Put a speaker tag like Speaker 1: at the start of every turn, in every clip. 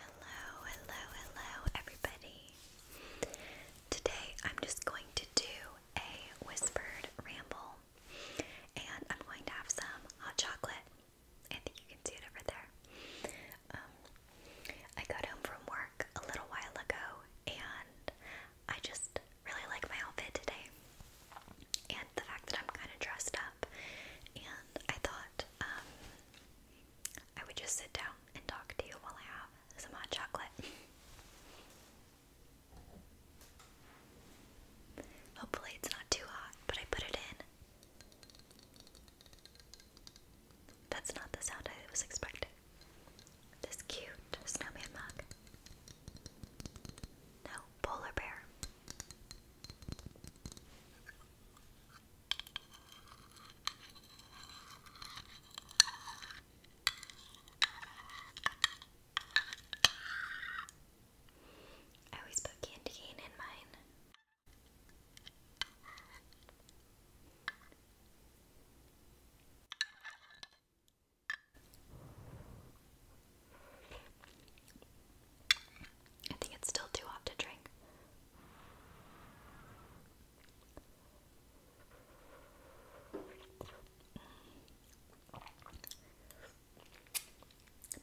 Speaker 1: Hello, hello, hello, everybody. Today I'm just going to do a whispered ramble and I'm going to have some hot chocolate. I think you can see it over there. Um, I got home from work a little while ago and I just really like my outfit today and the fact that I'm kind of dressed up. And I thought, um, I would just sit down and talk to you while I have some hot chocolate. Hopefully, it's not too hot, but I put it in. That's not the sound I was expecting. This cute snowman mug. No, polar bear. I always put candy cane in mine. I think it's still too hot to drink. Mm.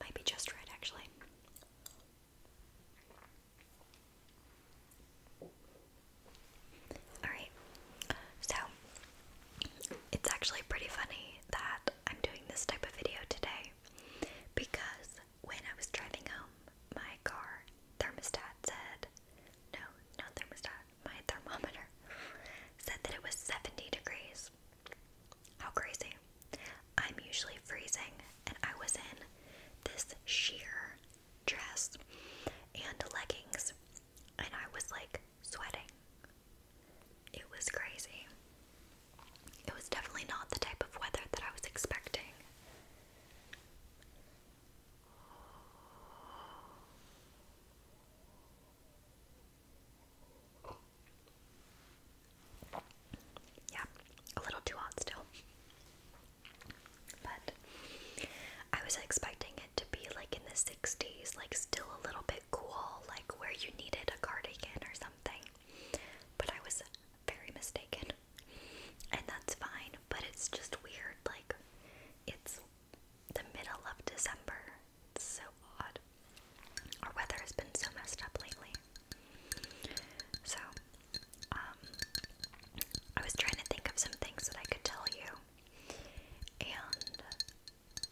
Speaker 1: might be just right, actually. Alright, so it's actually pretty funny that I'm doing this type of video today because when I was driving home, my car thermostat said, no, not thermostat, my thermometer said that it was 70 degrees. How crazy. I'm usually freezing, and I was in this sheer dress and leggings, and I was like sweating. It was crazy. It was definitely not the type of weather that I was expecting. Yeah, a little too hot still. But I was expecting it to be like in the 60s, like still a little bit cool, like where you needed a cardigan or something. But I was very mistaken. And that's fine, but it's just weird. Like, it's the middle of December. It's so odd. Our weather has been so messed up lately. So, um, I was trying to think of some things that I could tell you. And,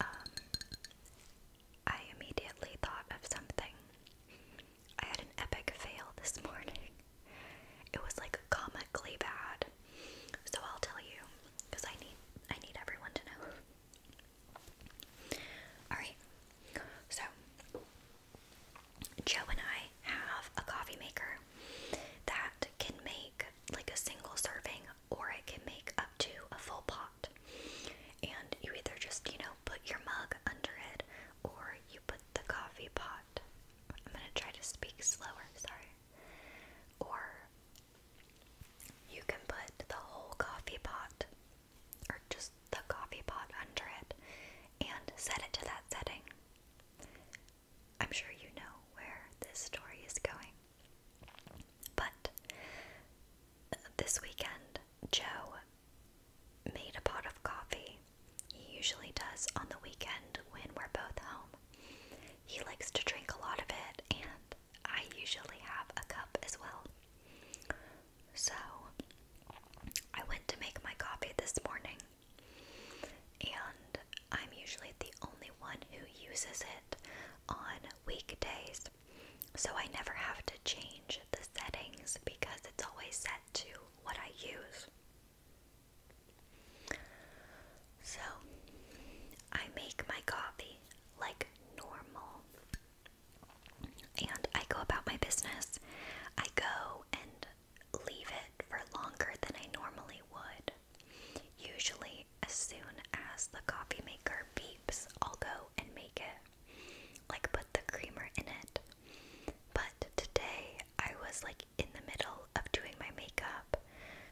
Speaker 1: um, I immediately thought of something. I had an epic fail this morning. It was like comically bad. So I'll tell you because I need I need everyone to know. All right. So Joe and I have a coffee maker that can make like a single serving or it can make up to a full pot. And you either just, you know, put your mug under it or you put the coffee pot. I'm going to try to speak slower, sorry. Or you can put the whole coffee pot or just the coffee pot under it and set it to that setting. I'm sure you know where this story is going. But this weekend, Joe made a pot of coffee. He usually does on the weekend when we're both home. He likes to drink a lot of it, and I usually have a cup as well. So, I went to make my coffee this morning, and I'm usually the only one who uses it on weekdays. So I never have to change the settings because it's always set to what I use. So I make my coffee like normal. And I go about my business. I go and leave it for longer than I normally would. Usually as soon as the coffee maker beeps, I'll go and make it. Like, put the creamer in it. But today, I was like in the middle of doing my makeup,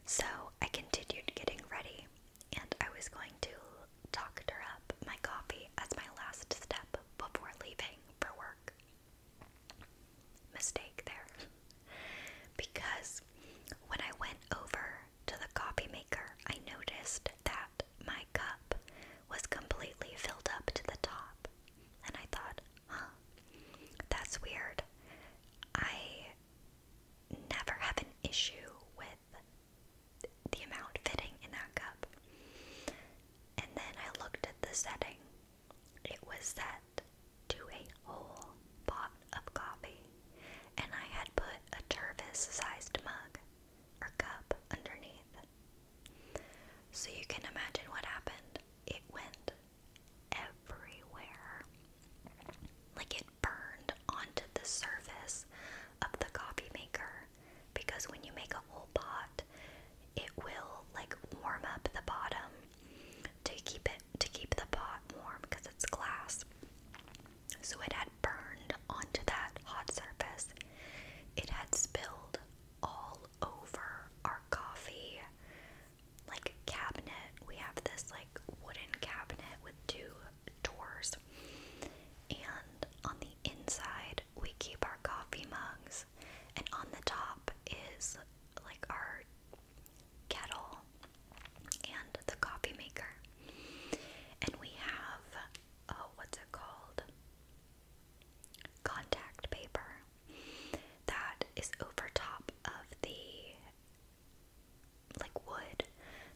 Speaker 1: so I continued getting ready, and I was going to doctor up my coffee as my last step before leaving for work. Mistake there. because when I went over to the copy maker, I noticed that my cup was completely filled up to the top. And I thought, huh, that's weird. I never have an issue with the amount fitting in that cup. And then I looked at the setting. It was set to a whole pot of coffee, and I had put a tervis sized mug or cup underneath. So you can imagine what happened. It went everywhere. Like it burned onto the surface of the coffee maker because when you make a whole pot, it will like warm up the bottom to keep it to keep the pot warm because it's glass so it had burned onto that hot surface. It had spilled all over our coffee like cabinet. We have this like wooden cabinet with two doors. And on the inside, we keep our coffee mugs, and on the top is like our kettle and the coffee maker. And we have, oh, what's it called? Contact paper that is over top of the like wood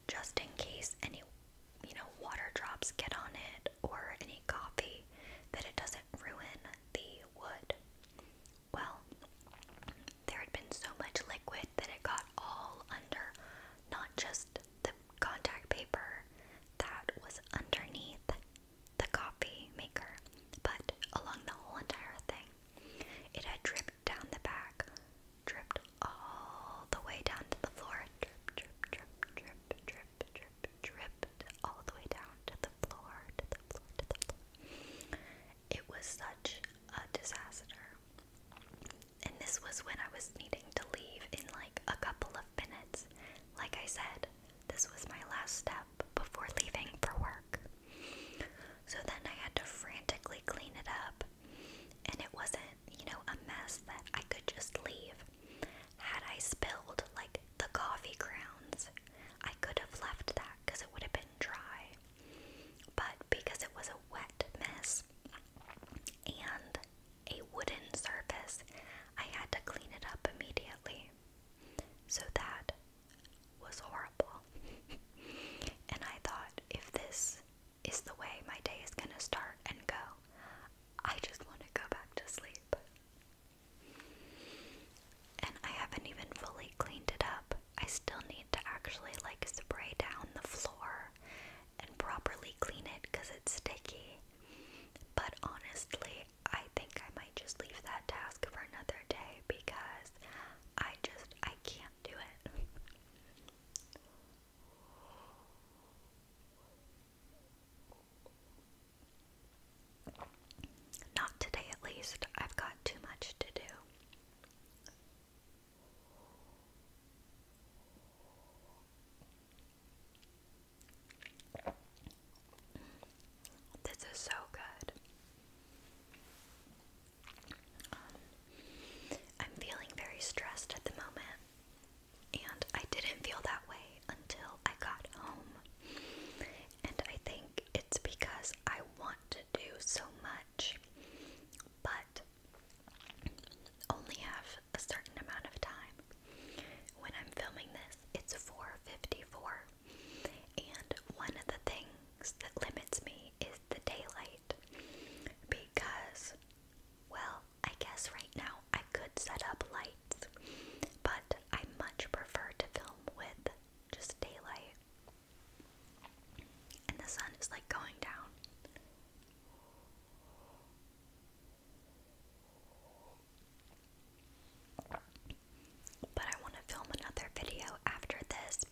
Speaker 1: just in case any you know water drops get on it or any coffee that it doesn't ruin the wood well there had been so much liquid that it got all under not just the contact paper that was underneath the coffee maker, but along the whole entire thing. It had dripped down the back, dripped all the way down to the floor. Drip, drip, drip, drip, drip, drip, dripped all the way down to the floor, to the floor, to the floor. It was such a disaster. And this was when I was needing to leave in like a couple of minutes. Like I said, this was my last step before leaving for work. So then I had to frantically clean it up. And it wasn't, you know, a mess that I could just leave. Had I spilled like the coffee grounds, I could have left that because it would have been dry. But because it was a wet mess and a wooden surface, I had to clean it up immediately. So that was horrible. and I thought, if this is the way my day is going to start and go, I just want to go back to sleep. And I haven't even fully cleaned it up. I still need to actually like spray down the floor and properly clean it because it's sticky. But honestly, I think I might just leave that task for another day because I just I can't do it. Not today, at least. I've got too much to do. This is so good. I'm feeling very stressed at the moment, and I didn't feel that way until I got home. And I think it's because I want to do so much, but only have a certain amount of time. When I'm filming this, it's 4:54. And one of the things that limits me is the daylight because well, I guess right now I could set up lights, but I much prefer to film with just daylight. And the sun is like going down. But I want to film another video after this.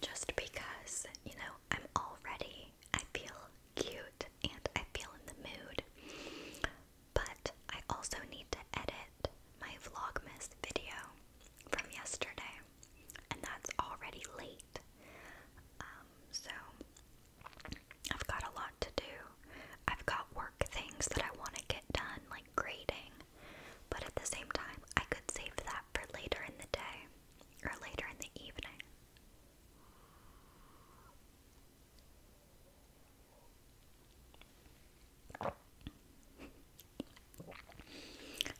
Speaker 1: Just because, you know, I'm already, I feel cute and I feel in the mood but I also need to edit my Vlogmas video from yesterday, and that's already late. Um, so I've got a lot to do. I've got work things that I want to get done, like grading, but at the same time, I could save that for later in the day or later in the evening.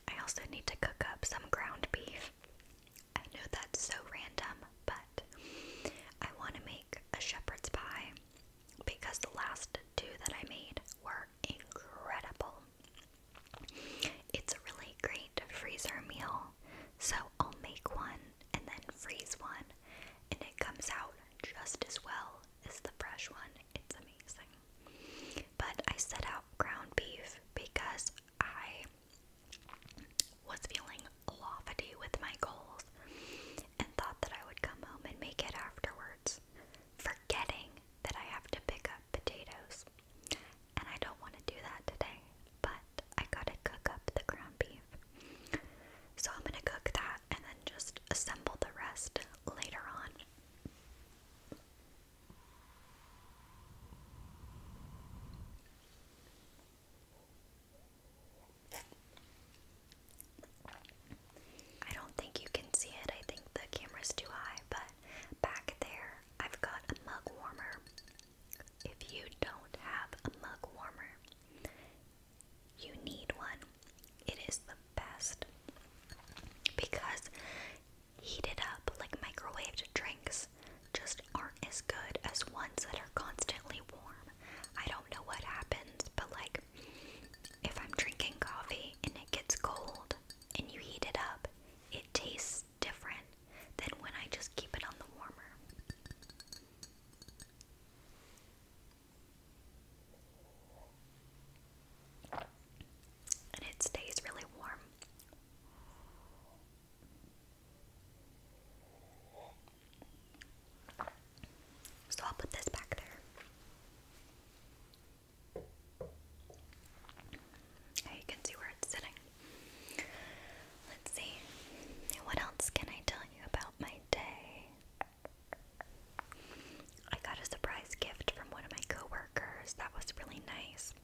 Speaker 1: I also need to cook up some ground beef. I know that's so random, but I want to make a shepherd's pie because the last two that I made were incredible. It's a really great freezer meal, so I'll make one and then freeze one, and it comes out just as well as the fresh one. It's amazing. But I set out ground beef because I was feeling lofty with my goals and thought that I would come home and make it afterwards, forgetting that I have to pick up potatoes. And I don't want to do that today, but I gotta cook up the ground beef. So I'm gonna cook that and then just assemble the rest later on. I don't think you can see it. I think the camera's too high, but back there I've got a mug warmer if you don't have a mug warmer, you need one. It is the best because heated up, like microwaved drinks, just aren't as good as ones that are constantly warm. I don't know what happens, but like if I'm drinking coffee and it gets cold and you heat it up, it tastes different than when I just keep it on the warmer. And it stays really warm. So I'll put this back there. Now you can see where it's sitting. Let's see. What else can I tell you about my day? I got a surprise gift from one of my coworkers. That was really nice.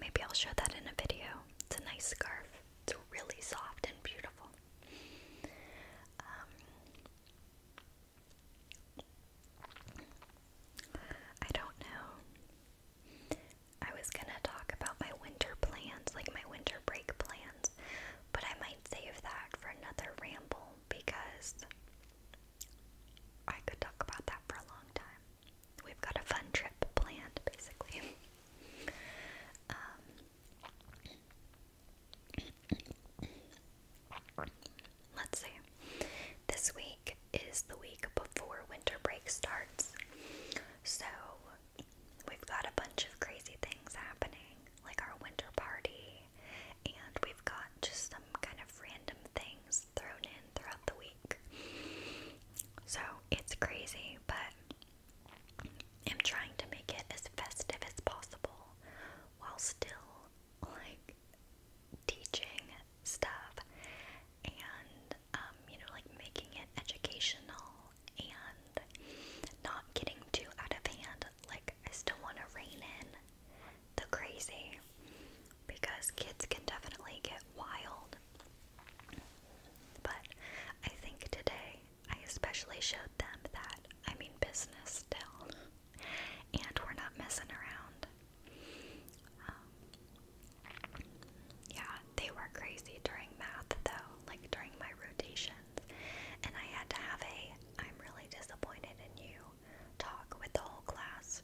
Speaker 1: Maybe I'll show that in a video. It's a nice scarf. It's really soft and beautiful. Um, I don't know. I was gonna talk about my winter plans, like my winter break plans, but I might save that for another ramble because I could talk about that for a long time. We've got a fun trip planned, basically. Um, let's see. This week is the week before winter break starts. So we've got a bunch of crazy things happening, like our winter party, and we've got just some kind of random things thrown in throughout the week. So it's crazy, but I'm trying to make it as festive as possible while still like teaching stuff and um, you know, like making it educational and not getting too out of hand. Like, I still want to rein in the crazy because kids can definitely get wild. But I think today I especially showed them that I mean business still, and we're not messing around. Um, yeah, they were crazy during math though, like during my rotations. And I had to have a I'm really disappointed in you talk with the whole class.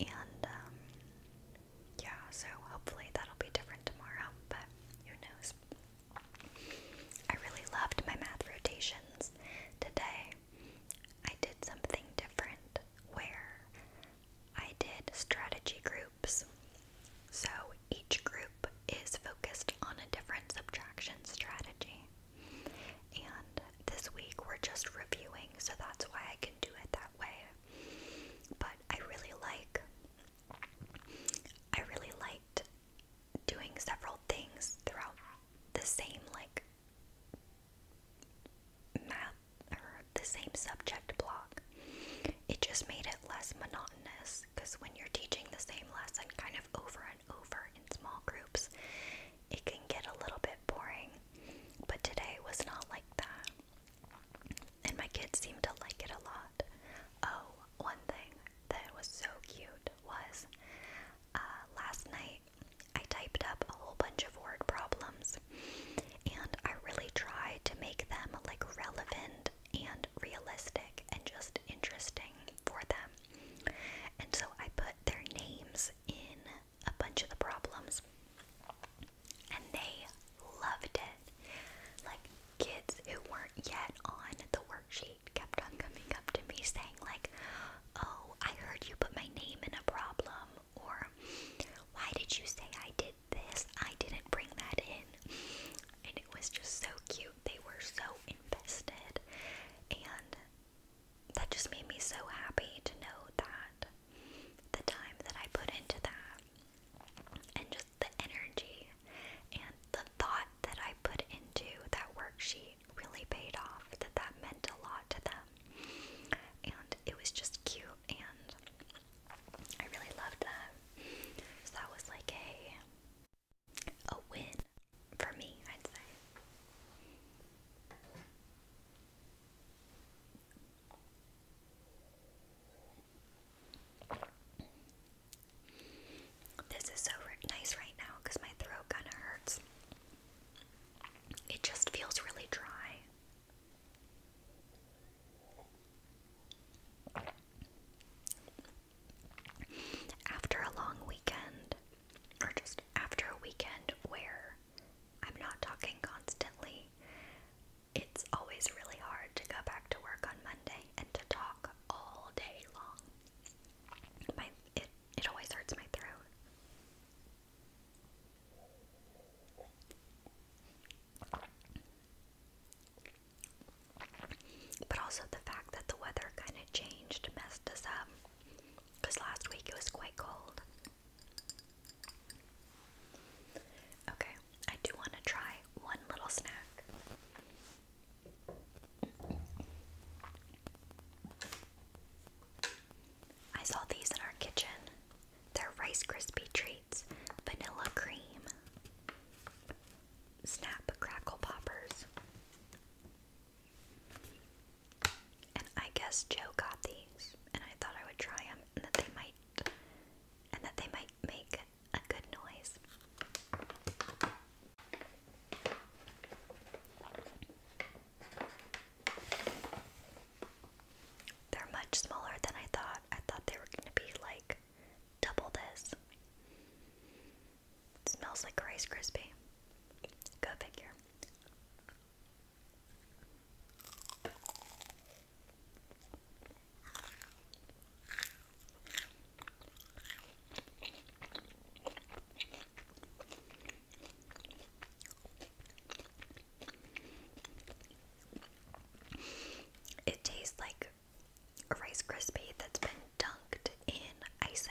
Speaker 1: And um yeah, so hopefully that'll be different tomorrow, but who knows. I really loved my math rotations today. I did something different where I did strategy groups. So each group is focused on a different subtraction strategy. And this week we're just reviewing, so that's why I can do it that way. But I really like I really liked doing several things throughout the same like math or the same subject block. It just made it less monotonous because when you're teaching the same lesson kind of over and over in small groups, it can get a little bit boring. But today was not like that. And my kids seemed to like it a lot. Oh, one thing that was so cute was uh, last night I typed up a whole bunch of word problems and I really tried to make them like relevant and realistic and just interesting for them. And so I put their names in a bunch of the problems and they loved it. Like kids who weren't yet on the worksheet kept on coming up to me saying like, "Oh, I heard you put my name in a problem," or why did you say I did this? I didn't bring that in. And it was just so cute. They were so invested. And that just made me so happy to know that the time that I put into that and just the energy and the thought that I put into that worksheet really paid off, that that meant a lot to them and it was just cute and I really loved that. So that was like a a win for me, I'd say. This is so nice right now because my throat kind of hurts. It just feels really dry. After a long weekend, or just after a weekend where I'm not talking constantly, it's always really hard to go back to work on Monday and to talk all day long. My it it always hurts my throat. But also the fact that the weather kind of changed messed us up. Because last week it was quite cold. Okay, I do want to try one little snack. I saw these in our kitchen. They're Rice Krispie treats, vanilla cream, snap crackle poppers. And I guess Joe got these, and I thought I would try them, and that they might, and that they might make a good noise. They're much smaller than I thought. I thought they were going to be like double this. smells like Rice Krispie. Go figure. It tastes like a Rice Krispie that's been dunked in icing.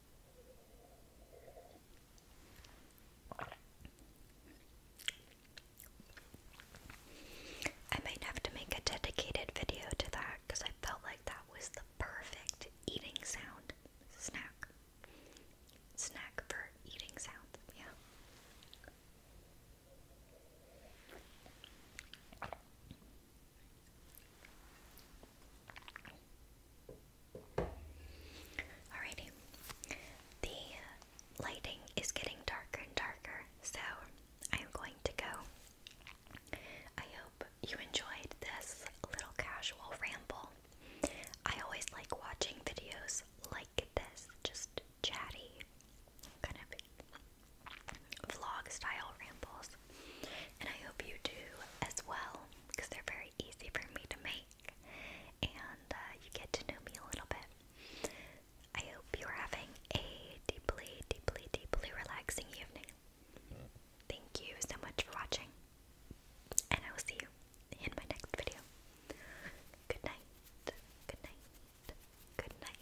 Speaker 1: I might have to make a dedicated video to that because I felt like that was the perfect eating sound snack. Snack for eating sound, yeah. Alrighty, the uh, lighting is getting darker and darker, so I'm going to go. I hope you enjoyed this little casual ramble. I always like watching videos like this, just chatty, kind of vlog style rambles. And I hope you do as well because they're very easy for me to make and uh, you get to know me a little bit. I hope you're having a deeply, deeply, deeply relaxing evening. Thank you so much for watching, and I will see you in my next video. Good night, good night, good night.